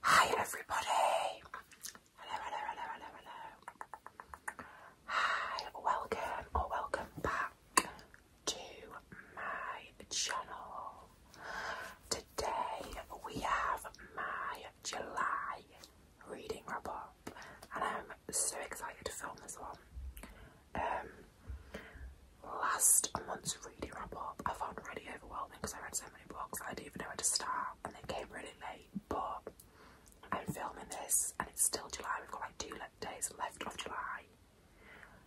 Hi everybody! Hello, hello, hello, hello, hello. Hi, welcome or welcome back to my channel. Today we have my July reading wrap up, and I'm so excited to film this one. Um, last month's reading wrap up I found really overwhelming because I read so books I didn't even know where to start, and they came really late. But I'm filming this, and it's still July. We've got like two days left of July,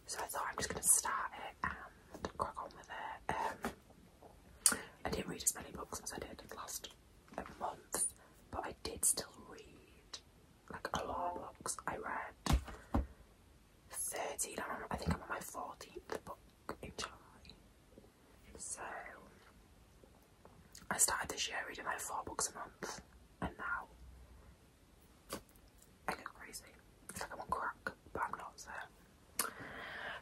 so I thought I'm just gonna start it and crack on with it. Um, I didn't read as many books as I did last uh, month, but I did still read like a lot of books. I read. 13, I, I think I'm on my 14th book in July. So I started this year reading like four books a month, and now I go crazy. It's like I'm on crack, but I'm not. So,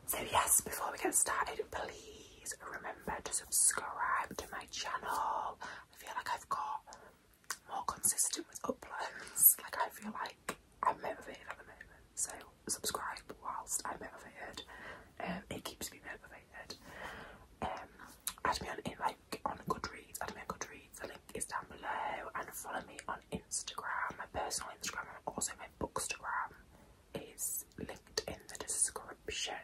so yes, before we get started, please remember to subscribe to my channel. I feel like I've got more consistent with uploads. Like I feel like I'm motivated at the moment. So subscribe whilst I'm motivated. Um, it keeps me motivated. Um, add me on in like on Goodreads. Add me on Goodreads. The link is down below. And follow me on Instagram. My personal Instagram and also my bookstagram is linked in the description.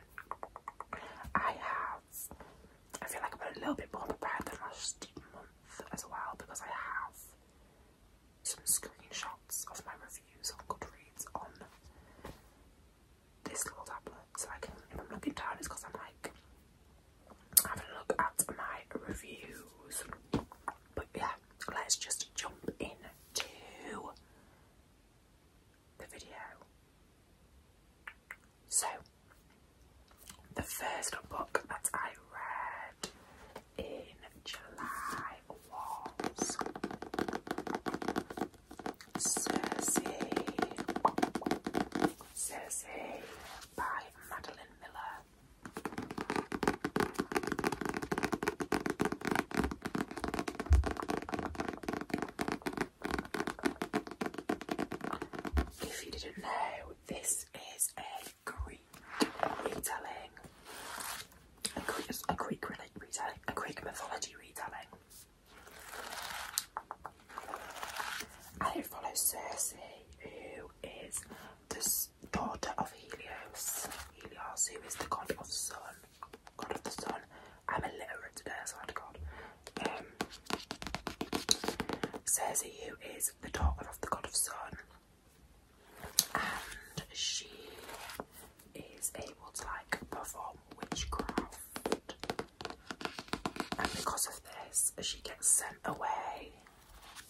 I have. I feel like i am a little bit more prepared than last month as well because I have some screenshots of my reviews on Goodreads on this little tablet. So I can, if I'm looking down, it's because I'm like having a look at my reviews. But yeah, let's just jump in to the video. So, the first book that I read in July was Cersei, Cersei by Madeline Miller. If you didn't know, this is a a Greek retelling, a Greek, a retelling, a Greek mythology retelling. And it Circe, who is the daughter of Helios. Helios, who is the god of the sun. God of the sun. I'm illiterate so I swear to God. Um, Circe, who is the daughter of the god of the sun, and she is able to like perform witchcraft, and because of this, she gets sent away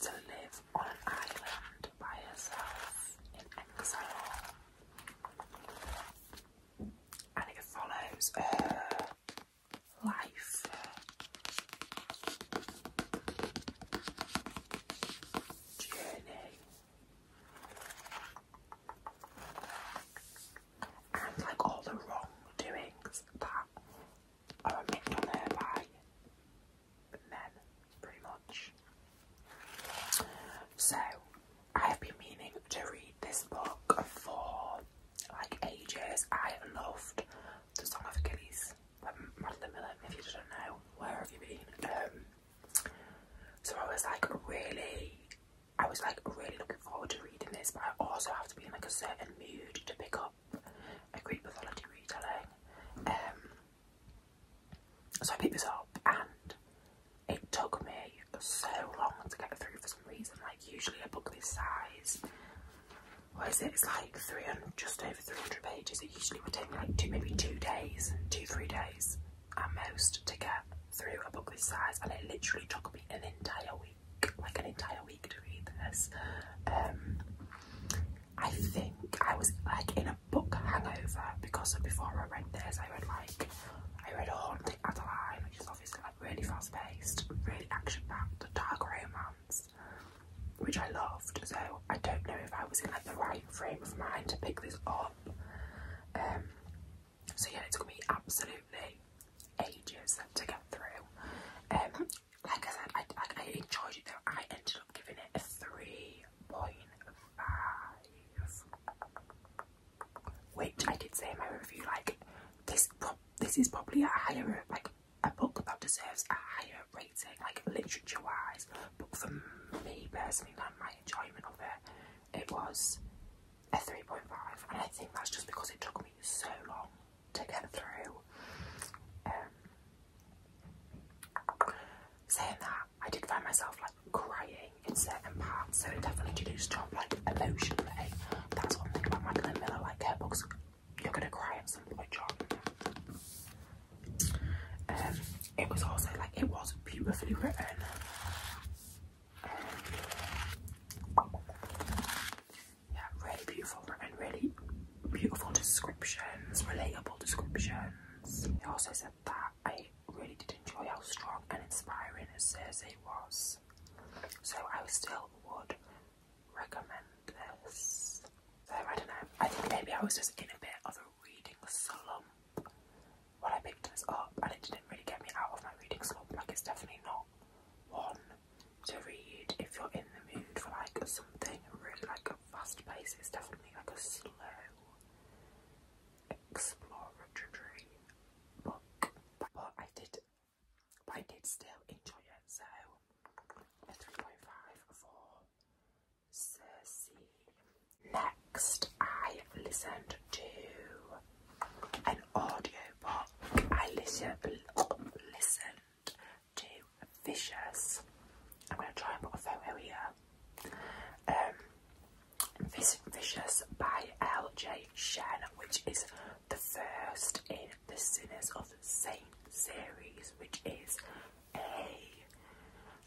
to live on an island by herself in exile, and it follows her life journey. And like all the wrongdoings that are admitted on her by men, pretty much. So, I have been meaning to read this book for like ages. I loved The Song of Achilles um, Madeline Miller, if you don't know, where have you been? Um, so I was like really, I was like really looking forward to reading this, but I also have to be in like a certain mood to pick up a Greek mythology retelling. Um, so I picked this up and it took me so long to get through for some reason. Like usually a book this size, what is it? It's like 300, just over 300 pages, it usually would take me like two, maybe two days, two, three days at most to get through a book this size, and it literally took me an entire week, like an entire week to read this. Um, I think I was like in a book hangover because before I read this, I read like I read Haunting Adeline, which is obviously like really fast paced, really action packed, dark romance which I loved. So I don't know if I was in the right frame of mind to pick this up. Um, so yeah, it took me absolutely ages to get through. Um, like I said, I, I enjoyed it though. I ended up giving it a three point five, which I did say in my review. Like this, this is probably a higher like a book that deserves a higher rating, like literature wise, but for me personally, like my enjoyment of it, it was a 3.5, and I think that's just because it took me so long to get through. Um, saying that, I did find myself like crying in certain parts, so it definitely did jump like emotionally. That's one thing about Madeline Miller, like her books, you're gonna cry at some point, John. Um, it was also like it was beautifully written. Um, yeah, really beautiful written, really beautiful descriptions, relatable descriptions. It also said that I really did enjoy how strong and inspiring it was. So I still would recommend this. So I don't know. I think maybe I was just in a bit of a reading slump. When I picked this up, and it didn't really get me out of my reading slump. Like it's definitely not one to read if you're in the mood for like something really like a fast pace. It's definitely like a slow exploratory book. But I did, I did still enjoy it. So a three point five Cersei. Next, I listened to an audiobook. I listen, listened to Vicious. I'm going to try and put a photo here. Um, Vicious by L.J. Shen, which is the first in the Sinners of Saint series, which is a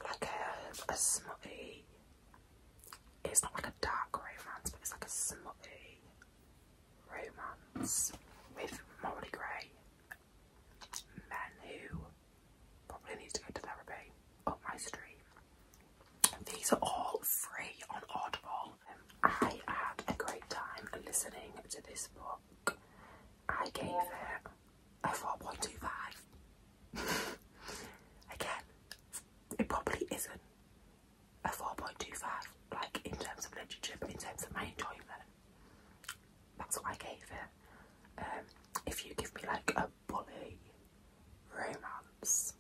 like a a smutty. It's not like a dark romance, but it's like a smutty romance with morally grey men who probably need to go to therapy. Up my street. These are all free on Audible. I had a great time listening to this book. I gave it I oh thought Again, it probably isn't a 4.25, like in terms of literature, in terms of my enjoyment, that's what I gave it. Um, if you give me like a bully romance,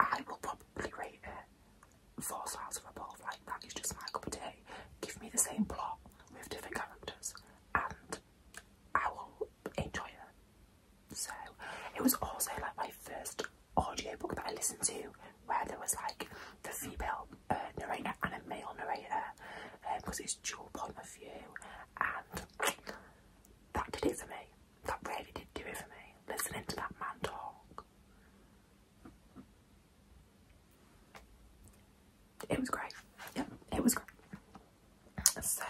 I will probably rate it four stars or above. Like that is just my cup of tea. Give me the same plot with different characters, and I will enjoy it. So it was also like my first audiobook that I listened to where there was like the female uh, narrator and a male narrator because um, it's dual point of view and that did it for me. That really did do it for me, listening to that man talk it was great. Yeah, it was great. So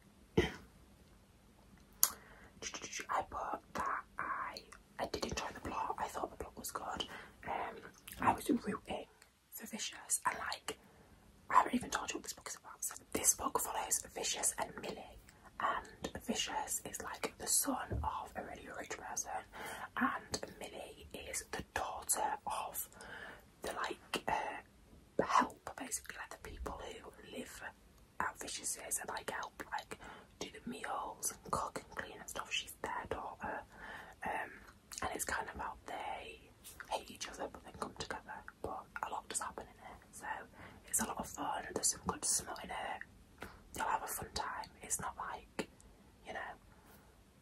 I put that I I did enjoy the plot. I thought the plot was good. Um, I was rooting for Vicious and like I haven't even told you what this book is about. So this book follows Vicious and Millie, and Vicious is like the son of a really rich person, and Millie is the daughter of the like uh, help basically, like the people who live at Viciouses and like help like do the meals and cook and clean and stuff. She's their daughter, um, and it's kind of how they hate each other but then come together. But a lot does happen in it, so it's a lot of fun. There's some good smut in it. You'll have a fun time. It's not like you know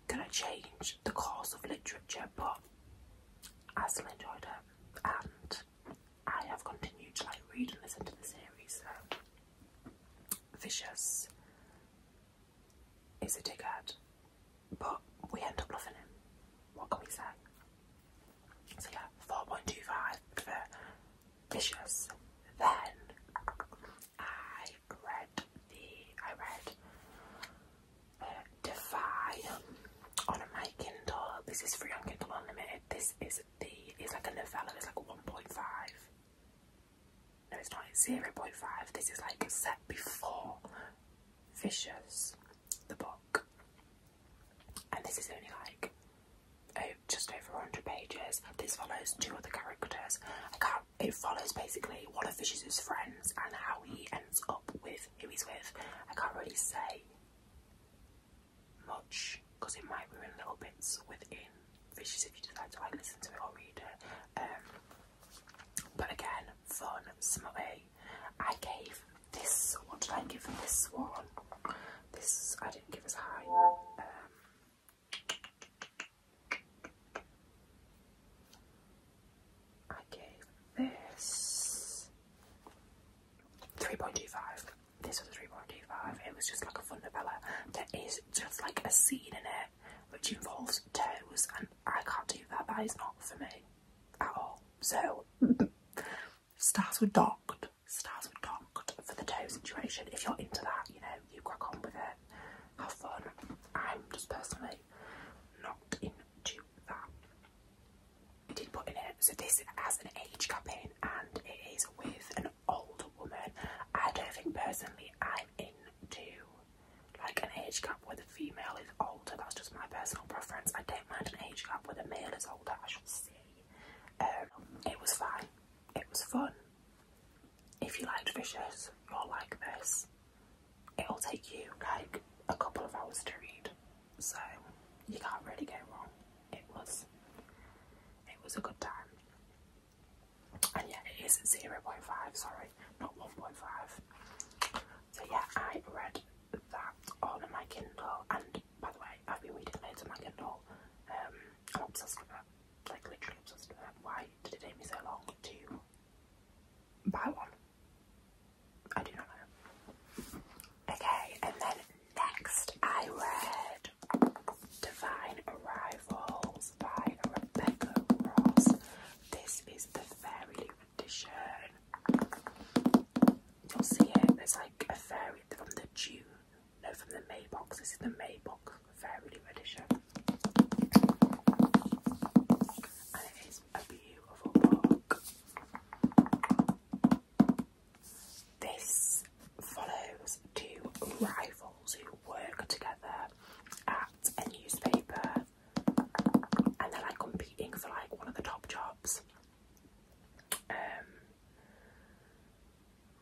gonna change the course of literature, but I still enjoyed it, and I have continued to like read and listen to the series. So Vicious is a dickhead, but we end up loving him. What can we say? So yeah, four point two five for Vicious. Then I read the I read Defy on my Kindle. This is free on Kindle Unlimited. This is the it's like a novella. It's like 1.5. No, it's not. 0.5. This is like set before Vicious, the book, and this is only like oh, just over 100 pages. This follows two other characters. It follows basically one of Vicious's friends and how he ends up with who he's with. I can't really say much because it might ruin little bits within Fishes if you decide to like listen to it or read it. Um, but again, fun, smutty. I gave this. What did I give this one? This I didn't give as high. Um, I gave this 3.25. This was a 3.25. It was just like a fun novella. There is just like a scene in it which involves toes, and I can't do that. That is not for me at all. So, stars were docked. Stars were docked for the toe situation. If you're into that, you know, you crack on with it. Have fun. I'm just personally not into that. I did put in it, so this has an age cap in and it is with an old woman. I don't think personally I'm into like an age gap where the female is older, that's just my personal preference. I don't mind an age gap where the male is older, I should say. Um, it was fine, it was fun. If you liked Vicious, you'll like this it'll take you like a couple of hours to read. So you can't really go wrong. It was it was a good time. And yeah, it is 0.5, sorry, not 1.5. So yeah, I read that all in my Kindle and by the way, I've been reading loads of my Kindle. Um, I'm obsessed with it. Like literally obsessed with it. Why did it take me so long to buy one? I do not know. Okay, and then next I read Divine Arrivals by Rebecca Ross. This is the fairy edition. You'll see it, there's like a fairy from the June, no, from the May box. This is the May box, fairy edition a beautiful park. This follows two rivals who work together at a newspaper and they're like competing for like one of the top jobs. Um,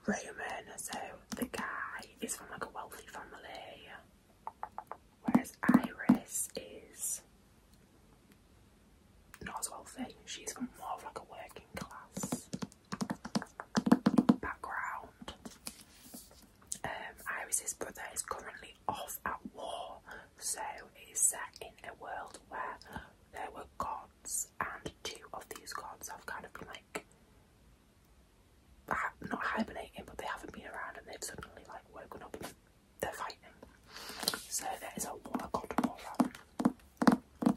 Roman, so the guy is from like a wealthy family Whereas Iris is not as wealthy, she's from more of like a working class background. Um, Iris's brother is currently off at war, so it is set in a world where there were gods, and two of these gods have kind of been like not hibernating, but they haven't been around, and they've suddenly like woken up the fighting. So that is a water cotton horror.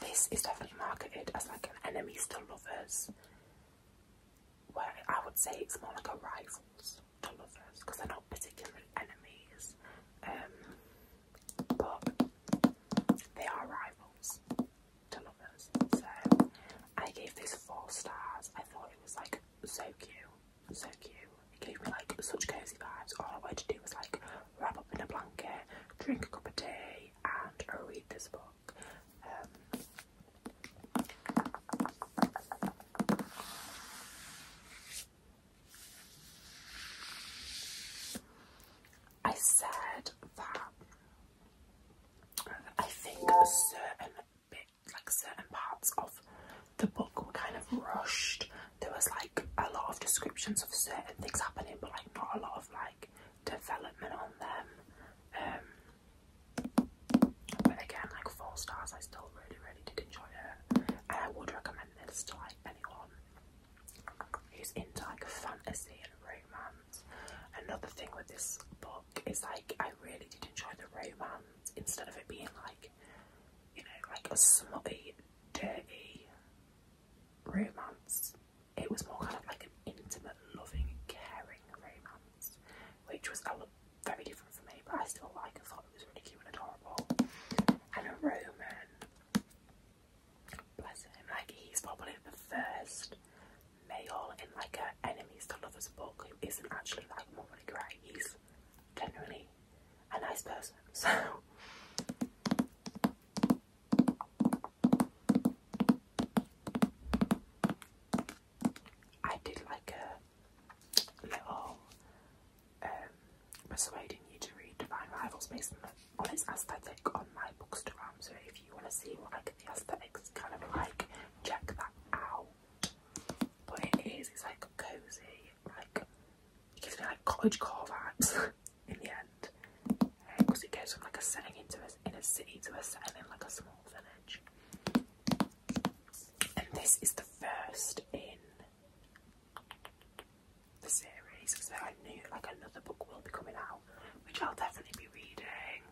This is definitely marketed as like an enemies to lovers. Where I would say it's more like a rivals to lovers because they're not particularly enemies, um, but they are rivals turnovers. So I gave this four stars. I thought it was like so cute, so cute. It gave me like such cozy vibes. All I wanted to do was like wrap up in a blanket, drink a cup of tea, and read this book. Um, I said that I think certain bit, like certain parts of the book were kind of rushed. There was like a lot of descriptions of certain things happening, but like not a lot of like development on them. Um, but again, like four stars, I still really, really did enjoy it, and I would recommend this to like anyone who's into like fantasy and romance. Another thing with this book it's like I really did enjoy the romance instead of it being like you know like a smutty, dirty romance. It was more kind of like an intimate, loving, caring romance, which was a lot very different for me, but I still like. I thought it was really cute and adorable. And a Roman, bless him, like he's probably the first male in like a enemies to lovers book who isn't actually like morally grey. He's generally a nice person. So I did like a little um, persuading you to read Divine Rivals based on its aesthetic on my bookstagram. So if you want to see what I the aesthetics kind of like check that out. But it is, it's like cozy, like it gives me like cottage core vibes in the end. Because um, it goes from like a setting into a, in a city to a setting like a small village. And this is the first in the series, so I knew like another book will be coming out, which I'll definitely be reading.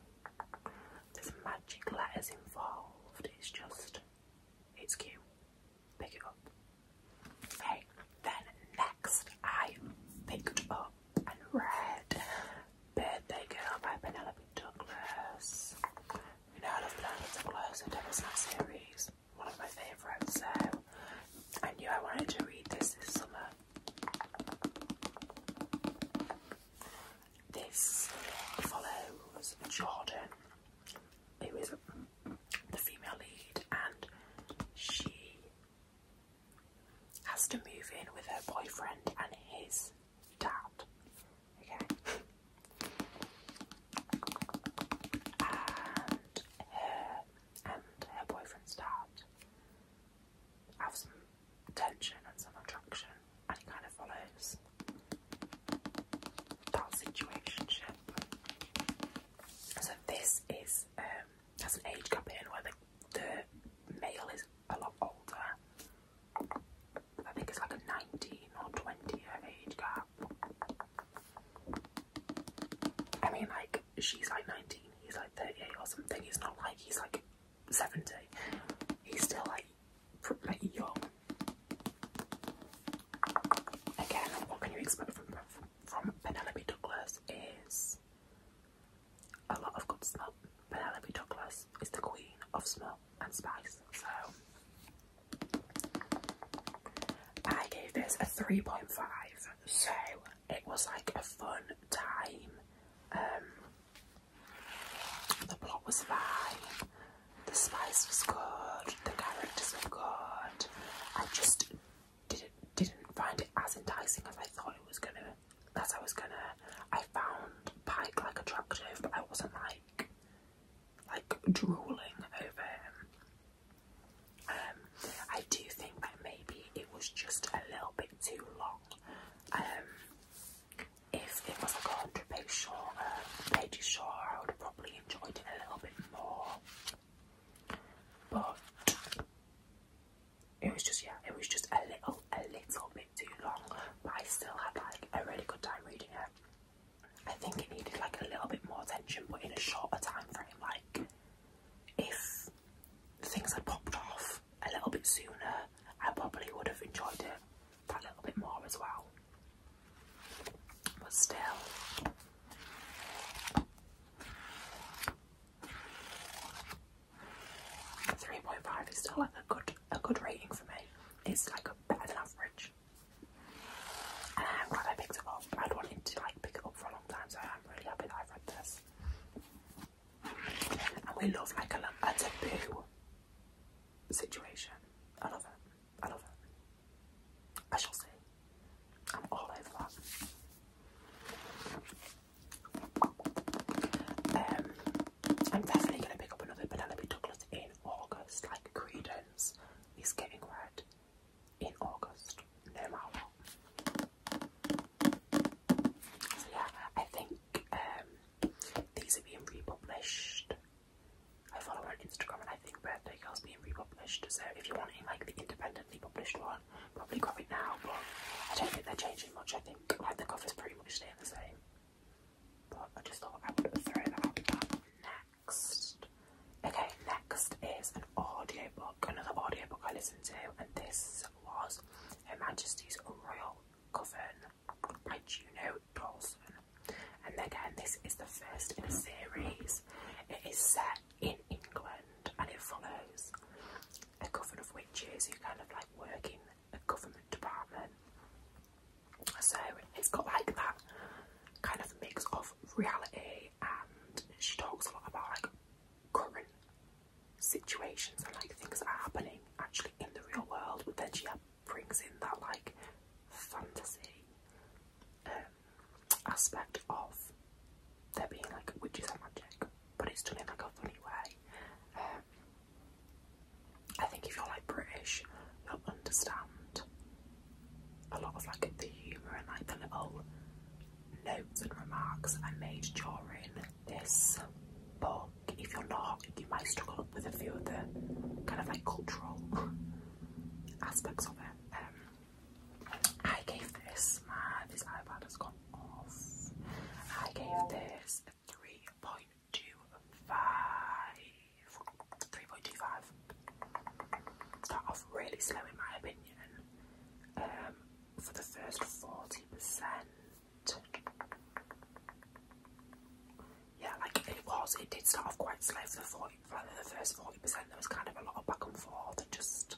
There's magic letters involved. It's just, it's cute. Pick it up. Hey, then next I picked up and read Birthday Girl by Penelope Douglas. You know I love Penelope Douglas, the Devil's Night series, one of my favourites, so I knew I wanted to read this this summer. This follows Jordan, who is the female lead, and she has to move in with her boyfriend and his dad. Okay. And her and her boyfriend's dad have some tension and some attraction, and it kind of follows that situationship. So this is um, an age gap in where the, the male is a lot older. I think it's like a 19 or 20 year age gap. I mean, like she's like 19, he's like 38 or something. He's not like he's like 70. He's still like pretty young. Again, what can you expect from from Penelope Douglas? Is a lot of good smut. Penelope Douglas is the queen of smut and spice. So I gave this a 3.5. So it was like a fun time. Um, the plot was fine. The spice was good. The characters were good. I just didn't didn't find it as enticing as I thought it was gonna. As I was gonna. I found Pike like attractive, but I wasn't like like drooling over him. Um, I do think that maybe it was just a little bit too long. Um, if it was like a hundred page shorter, pages uh, shorter, I would have probably enjoyed it a little bit more. But it was just yeah, it was just a little, a little bit too long. But I still had like a really good time reading it. I think it needed like a little bit more attention, but in a shorter time frame. Like if things had popped off a little bit sooner, I probably would have enjoyed it that little bit more as well. But still. Three point five is still like a good a good rating for me. It's like a better than average. And i I picked it up. I'd wanted to like pick it up for a long time, so I'm really happy that I've read this and we love like a, a taboo situation. I love it. I love it. I shall see. I'm all over that. Um, I'm definitely gonna pick up another Penelope Douglas in August. Like Credence is getting red in August, no matter So yeah, I think um, these are being republished. I follow on Instagram and I think Birthday Girl's being republished. So if you want wanting like the independently published one, probably grab it now. But I don't think they're changing much. I think like the cover's pretty much staying the same. But I just thought I would throw that out next. Okay, next is an audio book. another audio book I listened to, and this was Her Majesty's Royal Coven by Juno Dawson. And again, this is the first in a series. It is set in England and it follows a coven of witches who kind of like work in a government department. So it's got like that kind of mix of reality and she talks a lot about like current situations and like things that are happening actually in the real world, but then she brings in that like fantasy um, aspect of there being like witches and magic, but it's done in like a funny way. Um, I think if you're like British, you'll understand a lot of like the humour and like the little notes and remarks I made during this book. If you're not, you might struggle with a few of the kind of like cultural aspects of it. Um, I gave this my this iPad has gone off. I gave this a 3.25. 3.25. Start off really slow in my opinion. Um, for the first 40%, yeah, like it was, it did start off quite slow for the 40, like the first 40%, there was kind of a lot of back and forth and just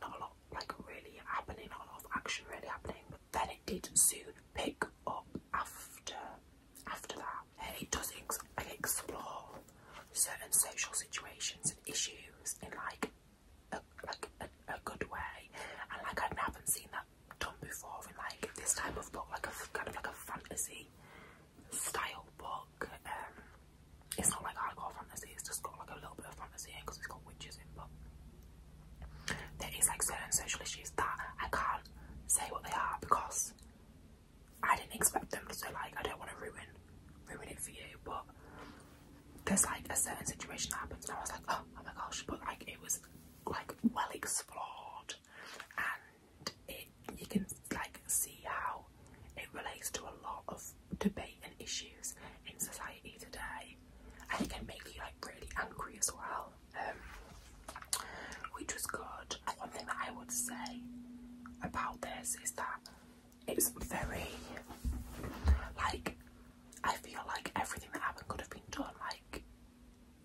not a lot like really happening, not a lot of action really happening, then it did soon pick up after after that. And it does it explore certain social situations and issues in like a, a, a good way, and like I haven't seen that done before in like this type of book, like a kind of like a fantasy style book. Um, it's not like hardcore fantasy; it's just got like a little bit of fantasy because it's got witches in. But there is like certain social issues that I can't say what they are because I didn't expect them to. So like, I don't want to ruin ruin it for you, but there's like a certain situation that happens and I was like, oh, oh my gosh, but like it was like well explored and it you can like see how it relates to a lot of debate and issues in society today and it can make you like really angry as well um, which was good one thing that i would say about this is that it's very like I feel like everything that happened could have been done like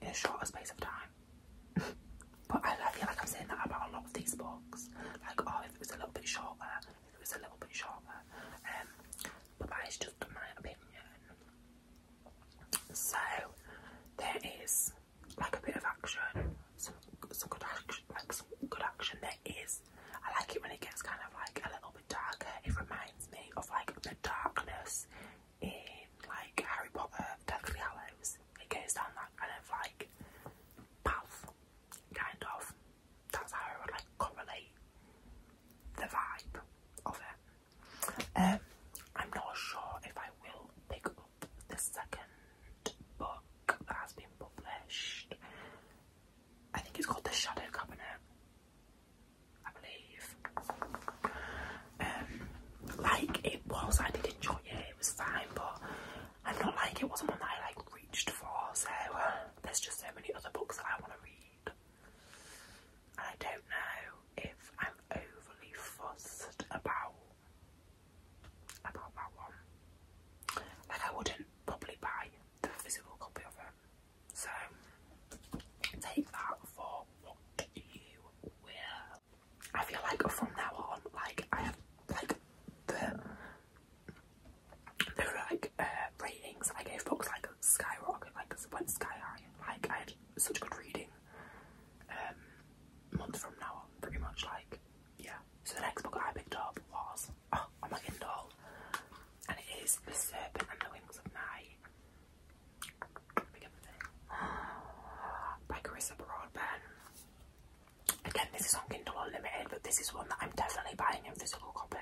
in a shorter space of time. but I, feel like I'm saying that about a lot of these books. Like, oh, if it was a little bit shorter, if it was a little bit shorter. Um, but that is just my opinion. So there is like a bit of action, some some good action, like some good action. There is. I like it when it gets kind of like a little bit bit It reminds me of like the darkness in like Harry Potter, Deathly Hallows. It goes down that kind of like path, kind of. That's like correlate the vibe of it. Um, I'm not sure if I will pick up the second book that has been published. I think it's called The Shadow Cabinet. I believe. Um, like it was, I did enjoy it. It was fine, but I'm not like it wasn't one that I like reached for. So uh, there's just so many other books that I want to read. And I don't know if I'm overly fussed about about that one. Like I wouldn't probably buy the physical copy of it. So take that for what you will. I feel like from now on, like I have like the the like uh, ratings I gave books like skyrocket, like went sky high. Like I had such good reading. Um, month from now on, pretty much like yeah. So the next book I picked up was oh, i on my Kindle, and it is *The Serpent and the Wings of Night*. By Carissa Broadbent. Again, this is on Kindle Unlimited, but this is one that I'm definitely buying in physical copy.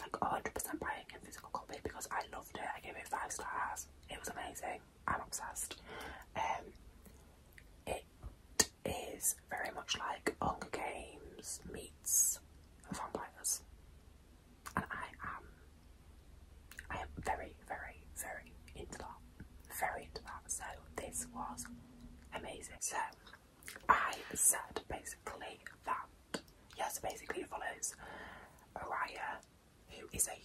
Like 100% buying in physical copy because I loved it. I gave it five stars. It was amazing. I'm obsessed. Um, it is very much like Hunger Games meets Vampires and I am I am very, very, very into that. Very into that. So this was amazing. So I said basically that yes basically it follows Araya who is a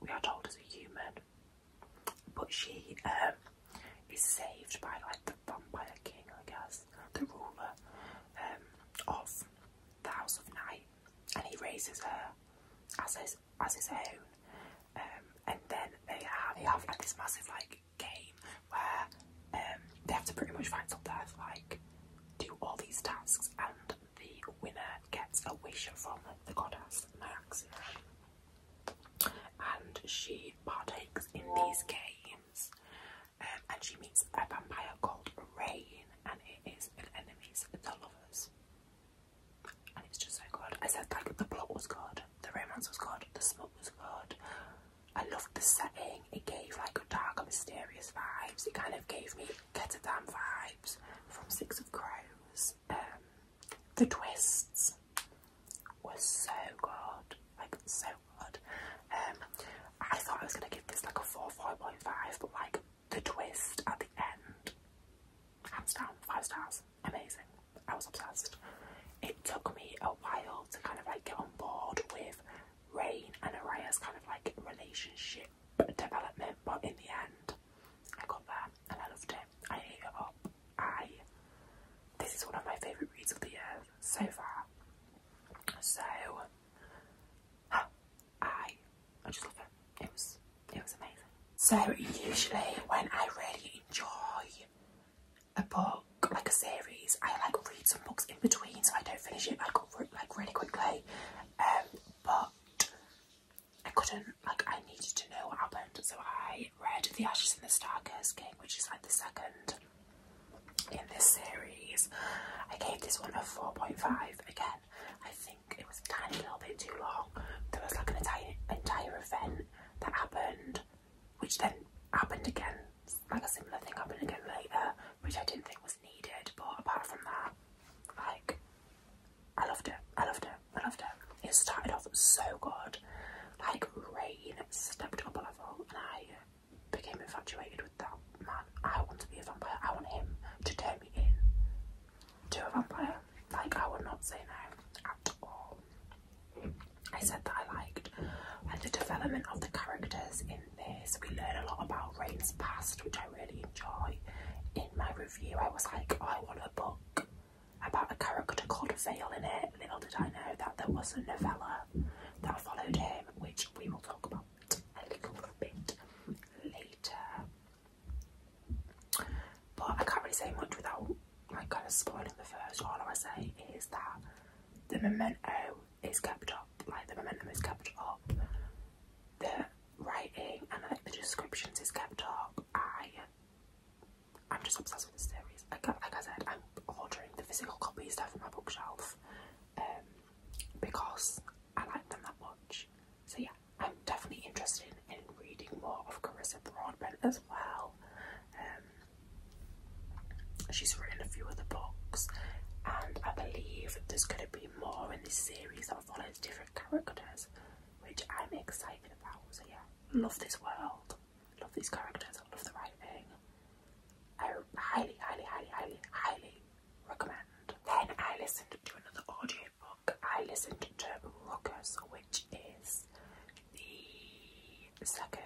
we are told as a human but she um is saved by like the vampire king I guess the ruler um, of the House of Night, and he raises her as his as his own. Um, and then they have they have like this massive like game where um, they have to pretty much find something death like do all these tasks, and the winner gets a wish from the goddess Max, And she partakes in these games um, and she meets a vampire called Rain, and it is an enemies to lovers. And it's just so good. I said like the plot was good, the romance was good, the smut was good. I loved the setting. It gave like a dark, mysterious vibes. It kind of gave me Get a Damn vibes from Six of Crows. Um, the twists were so good, like so um, I thought I was going to give this like a 4, 4.5, but like the twist at the end, hands down, 5 stars, amazing. I was obsessed. It took me a while to kind of like get on board with Rain and Aria's kind of like relationship development, but in the end, I got there and I loved it. I hate it up. I this is one of my favourite reads of the year so far. So I I just love it. It was it was amazing. So usually when I really enjoy a book, like a series, I like read some books in between so I don't finish it like like really quickly. Um, but I couldn't like I needed to know what happened so I read The Ashes and the star Stargurst King which is like the second in this series. I gave this one a 4.5. Again, I think it was a tiny little bit too long. There was like an entire, entire event that happened, which then happened again. Like a similar thing happened again later, which I didn't think was needed. But apart from that, like, I loved it. I loved it. I loved it. It started off so good. Like, rain stepped on a level, and I became infatuated with that man. I want to be a vampire. I want him to turn me in to a vampire. Like I would not say no at all. I said that I liked like the development of the characters in this. We learn a lot about Rain's past, which I really enjoy. In my review, I was like, I want a book about a character called Vale in it. Little did I know that there was a novella that followed him, which we will talk about a little bit later. But I can't really say much without like kind of spoiling the first. All I say is that the memento is kept up, like the momentum is kept up, the writing and like the descriptions is kept up. I I'm just obsessed with this series. Like, like I said, I'm ordering the physical copies stuff from my bookshelf. Um, because I like them that much. So yeah, I'm definitely interested in reading more of Carissa Broadbent as well. Um, she's written a few other books, and I believe there's going to be more in this series that follows different characters, which I'm excited about. So yeah, love this world, love these characters, love the writing. I highly, highly, highly, highly, highly recommend. Then I listened to another audiobook. I listened to Ruckus, which is the second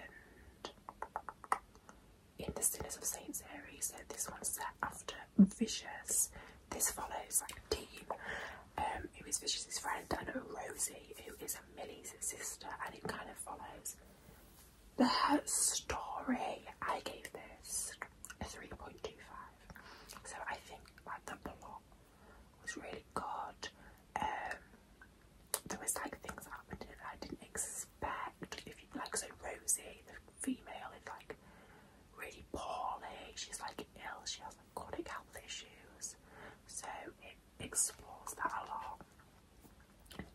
in the Sinners of Saints series. So this one's set after Vicious. This follows like a team. Um, who is Vicious's friend and Rosie, who is Millie's sister, and it kind of follows the story, I gave this a 3.25. So I think like the plot was really good. Um, there was like things that happened that I didn't expect. If you like, so Rosie, the female, is like really poorly. She's like ill. She has like chronic health issues. So it explores that a lot.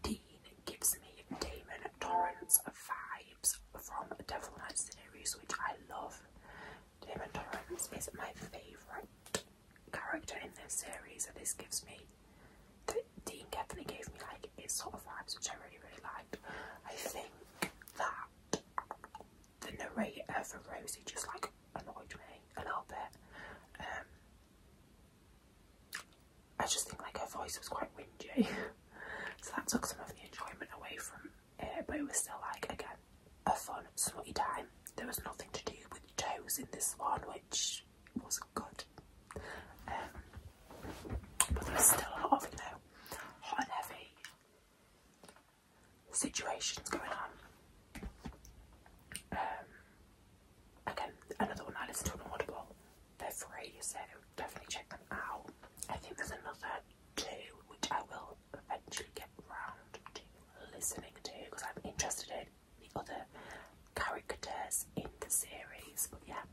Dean gives me Damon Torrance vibes from Devil Knight series, which I love. Damon Torrance is my favourite character in this series, and this gives me the Dean definitely gave me like its sort of vibes, which I really really liked. I think that the narrator of Rosie just like annoyed me a little bit. Um, I just think like her voice was quite whingy, so that took some of the enjoyment away from it. But it was still like again a fun smutty time. There was nothing to do with toes in this one, which wasn't good. Um, but there was still a lot of you know hot and heavy situations going on. Um, again, another one I listened to on Audible. They're free, so definitely check them out. I think there's another two which I will eventually get round to listening to because I'm interested in the other characters in the series. But yeah,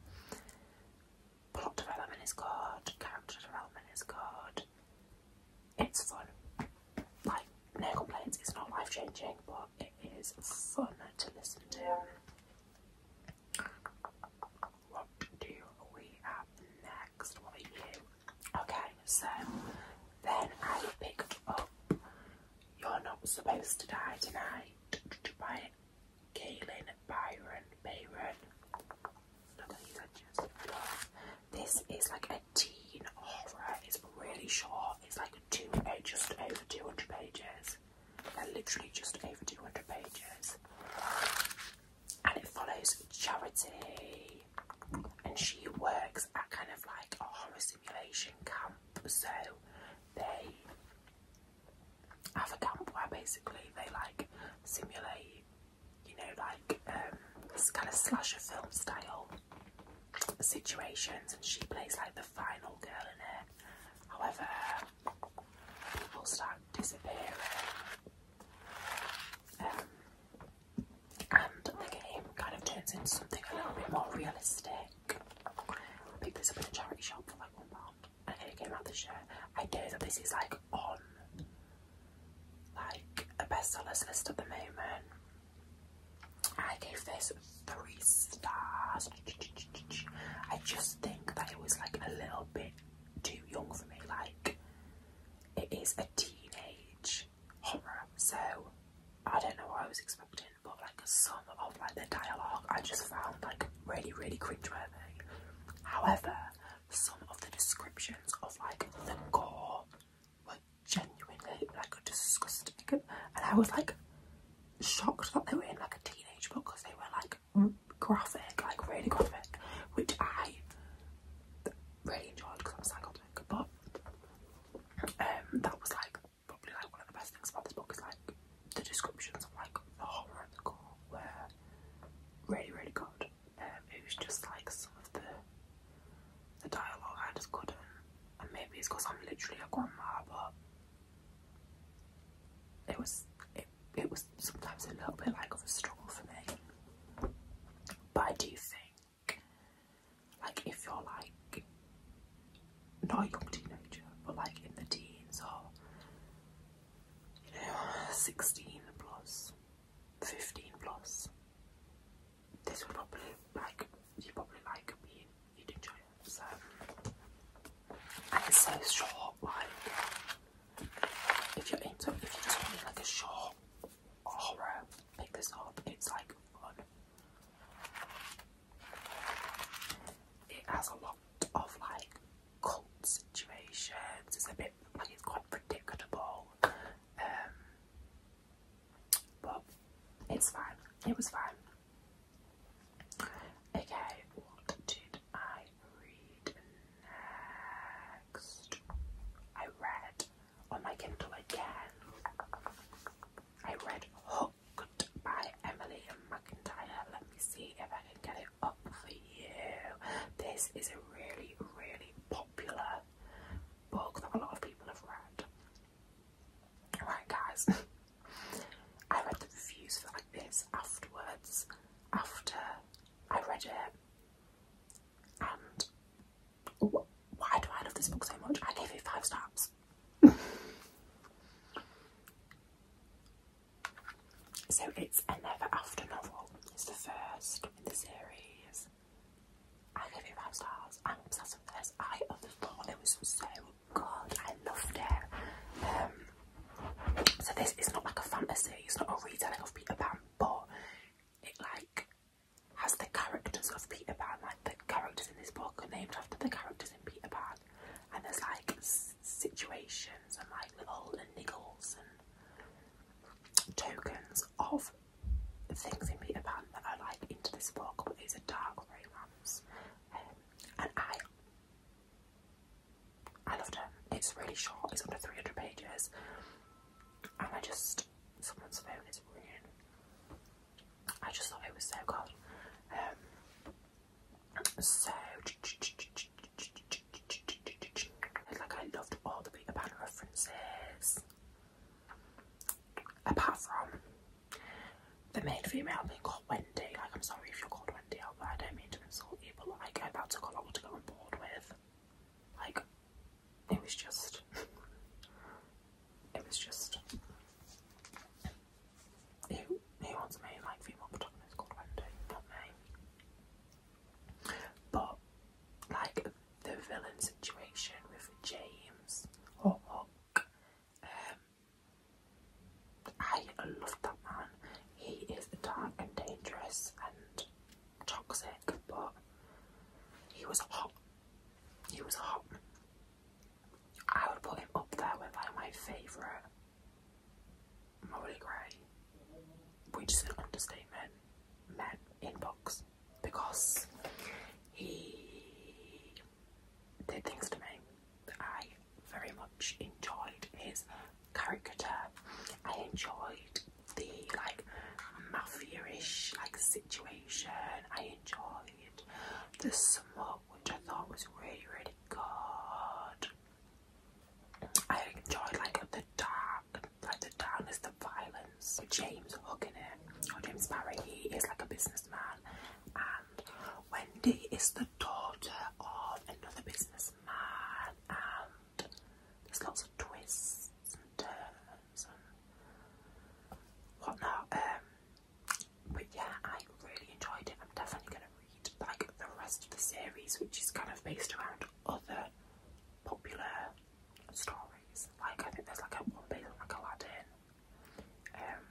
plot development is good, character development is good. It's fun. Like, no complaints, it's not life changing, but it is fun to listen to. What do we have next? What are you? Okay, so then I picked up You're Not Supposed to Die Tonight by Kaylin Byron. Byron. Look at these edges. This is like a teen horror. It's really short. It's like two, uh, just over 200 pages they literally just over 200 pages. And it follows Charity. And she works at kind of like a horror simulation camp. So they have a camp where basically they like simulate, you know, like um, this kind of slasher film style situations. And she plays like the final girl in it. However, People start disappearing. Um, and the game kind of turns into something a little bit more realistic. I picked this up in a charity shop for like one pound and it came out this year. I know that this is like on like a bestsellers list at the moment. I gave this three stars. I just think that it was like a little bit too young for me. Like, it is a teenage horror, so I don't know what I was expecting, but like some of like the dialogue I just found like really, really cringeworthy. However, some of the descriptions of like the gore were genuinely like disgusting, and I was like, shocked that they were in like a teenage book because they were like graphic, like really graphic, which I really enjoyed because I'm psychotic. But um, that was like probably like one of the best things about this book is like the descriptions of like the horror and the gore were really really good. Um, it was just like some of the the dialogue I just couldn't, and maybe it's because I'm literally a grandma, it was it, it was sometimes a little bit like of a struggle for me. But I do think like if you're like not a young teenager but like in the teens or you know 16 plus 15 plus this would probably like you probably like being YouTube channel. So, and it's so short. Like, if you're into, if you just want like a short horror, pick this up. It's like It has a lot of like cult situations. It's a bit like it's quite predictable. Um, but it's fine. It was fine. Okay, what did I read next? I read on oh, my Kindle again. I read Hooked by Emily McIntyre. Let me see if I can get it up for you. This is a really, really popular book that a lot of people have read. Alright, guys. I read the reviews for like this afterwards, after I read it, and why do I love this book so much? I gave it five stars. so it's a Never After novel. It's the first in the series. I gave it five stars. I'm obsessed with this. I thought it was so god, I loved it. Um, so this is not like a fantasy, it's not a retelling of Peter Pan, but it like has the characters of Peter Pan, like the characters in this book are named after the characters in Peter Pan, and there's like situations and like little niggles and tokens of things in Peter Pan that are like into this book, but these are dark romance. Um, and I I loved it. It's really short, it's under 300 pages, and I just, someone's phone is ringing. I just thought it was so good. Um, so, like, I loved all the Peter Pan references, apart from the main female being called Wendy. Like, I'm sorry if you're called Wendy but I don't mean to insult people. but like, that took a lot to go on board with. Like, it was just. it was just. he who wants me like female protagonist called Wendy? me. But, like, the villain situation with James or oh, Huck um, I love that man. He is dark and dangerous and toxic, but he was hot. He was hot. I would put him up there with like my favourite Molly Gray, which is an understatement, men inbox because he did things to me I very much enjoyed his caricature. I enjoyed the like mafia-ish like situation. I enjoyed the smut, which I thought was really really good. I enjoyed like the dark, like the darkness, the violence. James Hook it, uh, James Barry, he is like a businessman. Wendy is the daughter of another businessman, and there's lots of twists and turns and whatnot. Um, but yeah, I really enjoyed it. I'm definitely going to read like the rest of the series, which is kind of based around other popular stories. Like I think there's like a one based on like Aladdin. Um,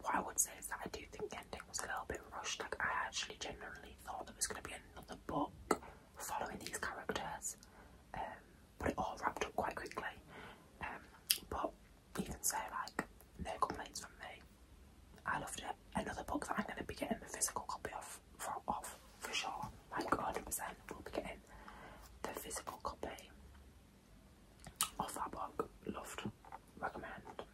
what I would say is that I do think the ending was a little bit rushed. Like I actually genuinely thought there was going to be another book following these characters, um, but it all wrapped up quite quickly. Um, but even so, like no complaints from me. I loved it. Another book that I'm going to be getting the physical copy of for off for sure. 100%, will be getting the physical copy of that book. Loved, recommend.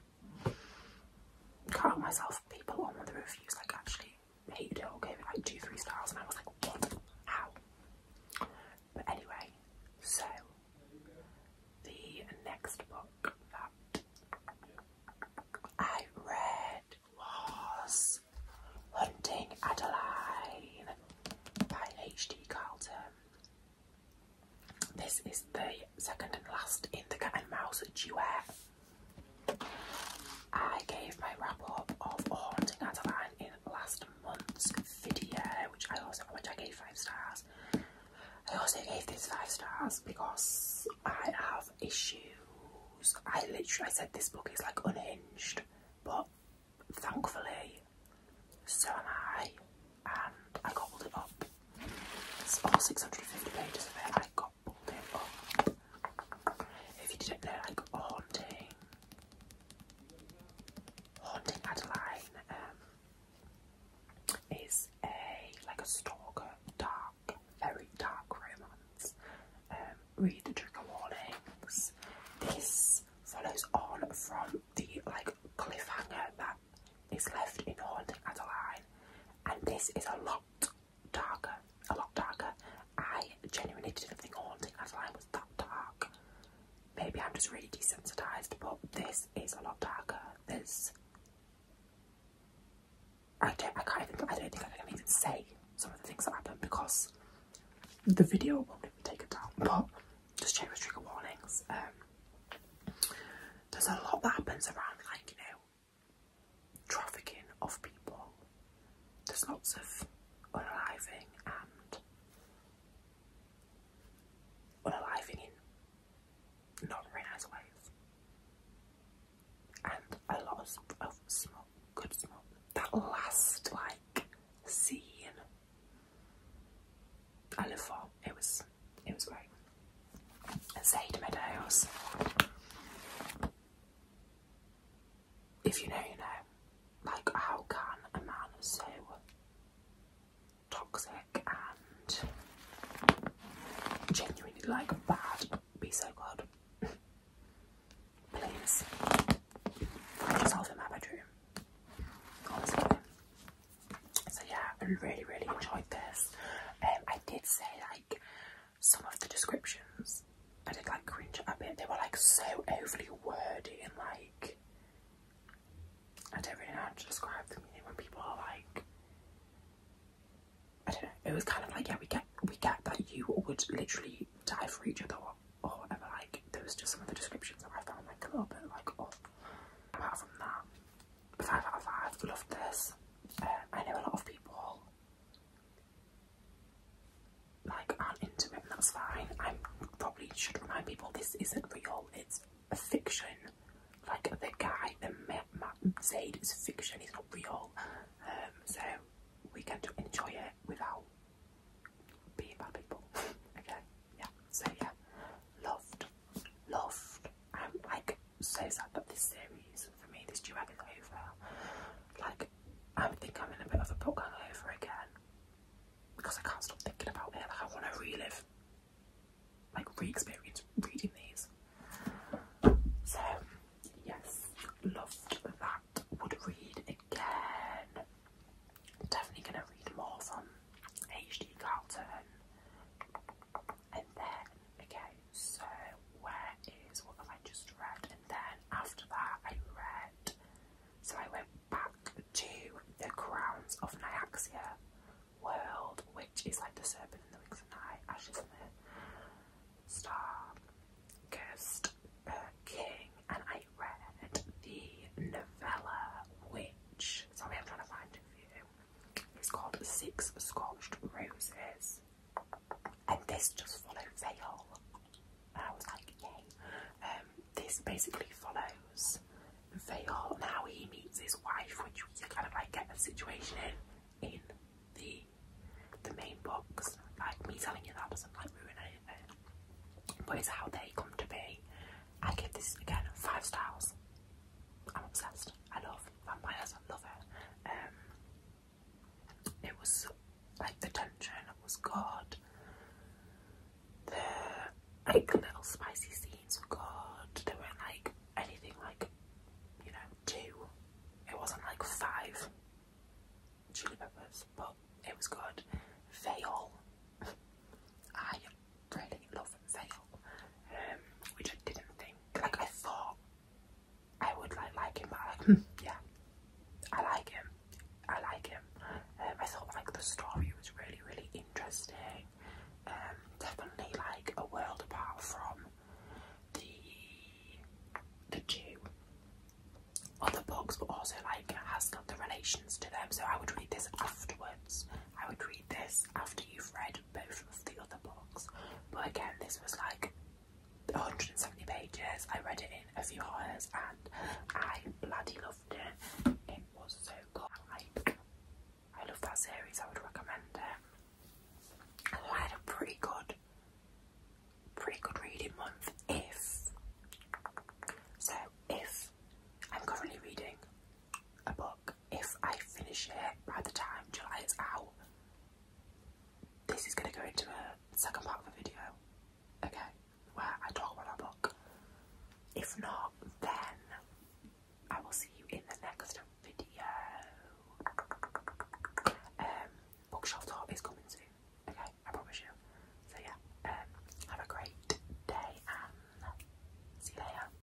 Can't help myself, people on the reviews like actually hated it or gave it like two, three stars, and I was like, what? How? But anyway, so the next book that I read was Hunting Adeline by H.D. Carlton. This is the second and last in the Cat and Mouse duet. I gave my wrap up of Haunting at Adeline in last month's video, which I also which I gave five stars. I also gave this five stars because I have issues. I literally I said this book is like unhinged, but thankfully, so am I and I gobbled it up. It's all 650 pages of it. I gobbled it up. If you didn't know, like haunting, haunting Adeline um, is a like a stalker, dark, very dark romance. Um, read the trigger warnings. This follows on from the like big cliffhanger that is left in Haunting Adelaide, and this is a lot darker. A lot darker. I genuinely didn't think Haunting Adelaide was that dark. Maybe I'm just really desensitized, but this is a lot darker. This. I don't. I can't even. I don't think I can even say some of the things that happen because the video won't even take it down. But just check the trigger warnings. Um, there's a lot that happens around, like, you know, trafficking of people. There's lots of unaliving and unaliving in not very nice ways. And a lot of, smoke, good smoke. That last, like, scene I live for. It was it was great. And Sade Meadows. If you know, you know. Like how can a man so toxic and genuinely like bad be so good? Please. Find yourself in my bedroom. Honestly. So yeah, I really, really enjoyed this. Um, I did say like some of the descriptions I did like cringe a bit. They were like so overly wordy and like I don't really know how to describe them. You when people are like, I don't know. It was kind of like yeah, we get we get that you would literally die for each other or, or whatever. Like there was just some of the descriptions that I found like a little bit like oh. Apart from that, five out of five. Loved this. Uh, I know a lot of people like aren't into it, and that's fine. I probably should remind people this isn't real. It's a fiction. Like the guy, the Matt Zaid is fiction. He's not real. Um, so we can to enjoy it without being bad people. okay. Yeah. So yeah, loved loved. I'm like so sad that this series for me, this duet is over. Like I think I'm in a bit of a book hangover again because I can't stop thinking about it. Like I want to relive, like re-experience reading these. So yes, loved that. Would read again. Definitely gonna read more from H. D. Carlton and then okay, so where is what have I just read? And then after that, I read so I went back to the Crowns of Nyaxia world, which is like the serpent and the wings of night, ashes in the star, cursed uh, king, and I read the novella, which sorry, I'm to find it for it's called Six Scorched Roses. And this just follows Veil. And I was like, yay. Um, this basically follows Veil and how he meets his wife, which you kind of like get the situation in in the the main box. Like me telling you that doesn't like ruin anything. But it's how they come to be. I give this again five stars. I'm obsessed. I love vampires. I love it. Um, it was like the tension was good. The like little spicy scenes were good. They weren't like anything like you know two. It wasn't like five chili peppers, but it was good. Veil. I really love Zayn, um, which I didn't think. Like I thought I would like like him, but like, hmm, yeah, I like him. I like him. Um, I thought like the story was really really interesting. Um, definitely like a world apart from the the Jew other books, but also like has got the relations to them. So I would read this afterwards. I would read this after you've read both of the other books, but again, this was like 170 pages. I read it in a few hours and I bloody loved it. It was so good. Like, I love that series, I would recommend it. I had a pretty good, pretty good reading month if. So, if I'm currently reading a book if I finish it by the time July is out, this is going to go into a second part of the video, okay, where I talk about my book. If not, then I will see you in the next video. Um, bookshelf talk is coming soon, okay, I promise you. So yeah, um, have a great day and see you later.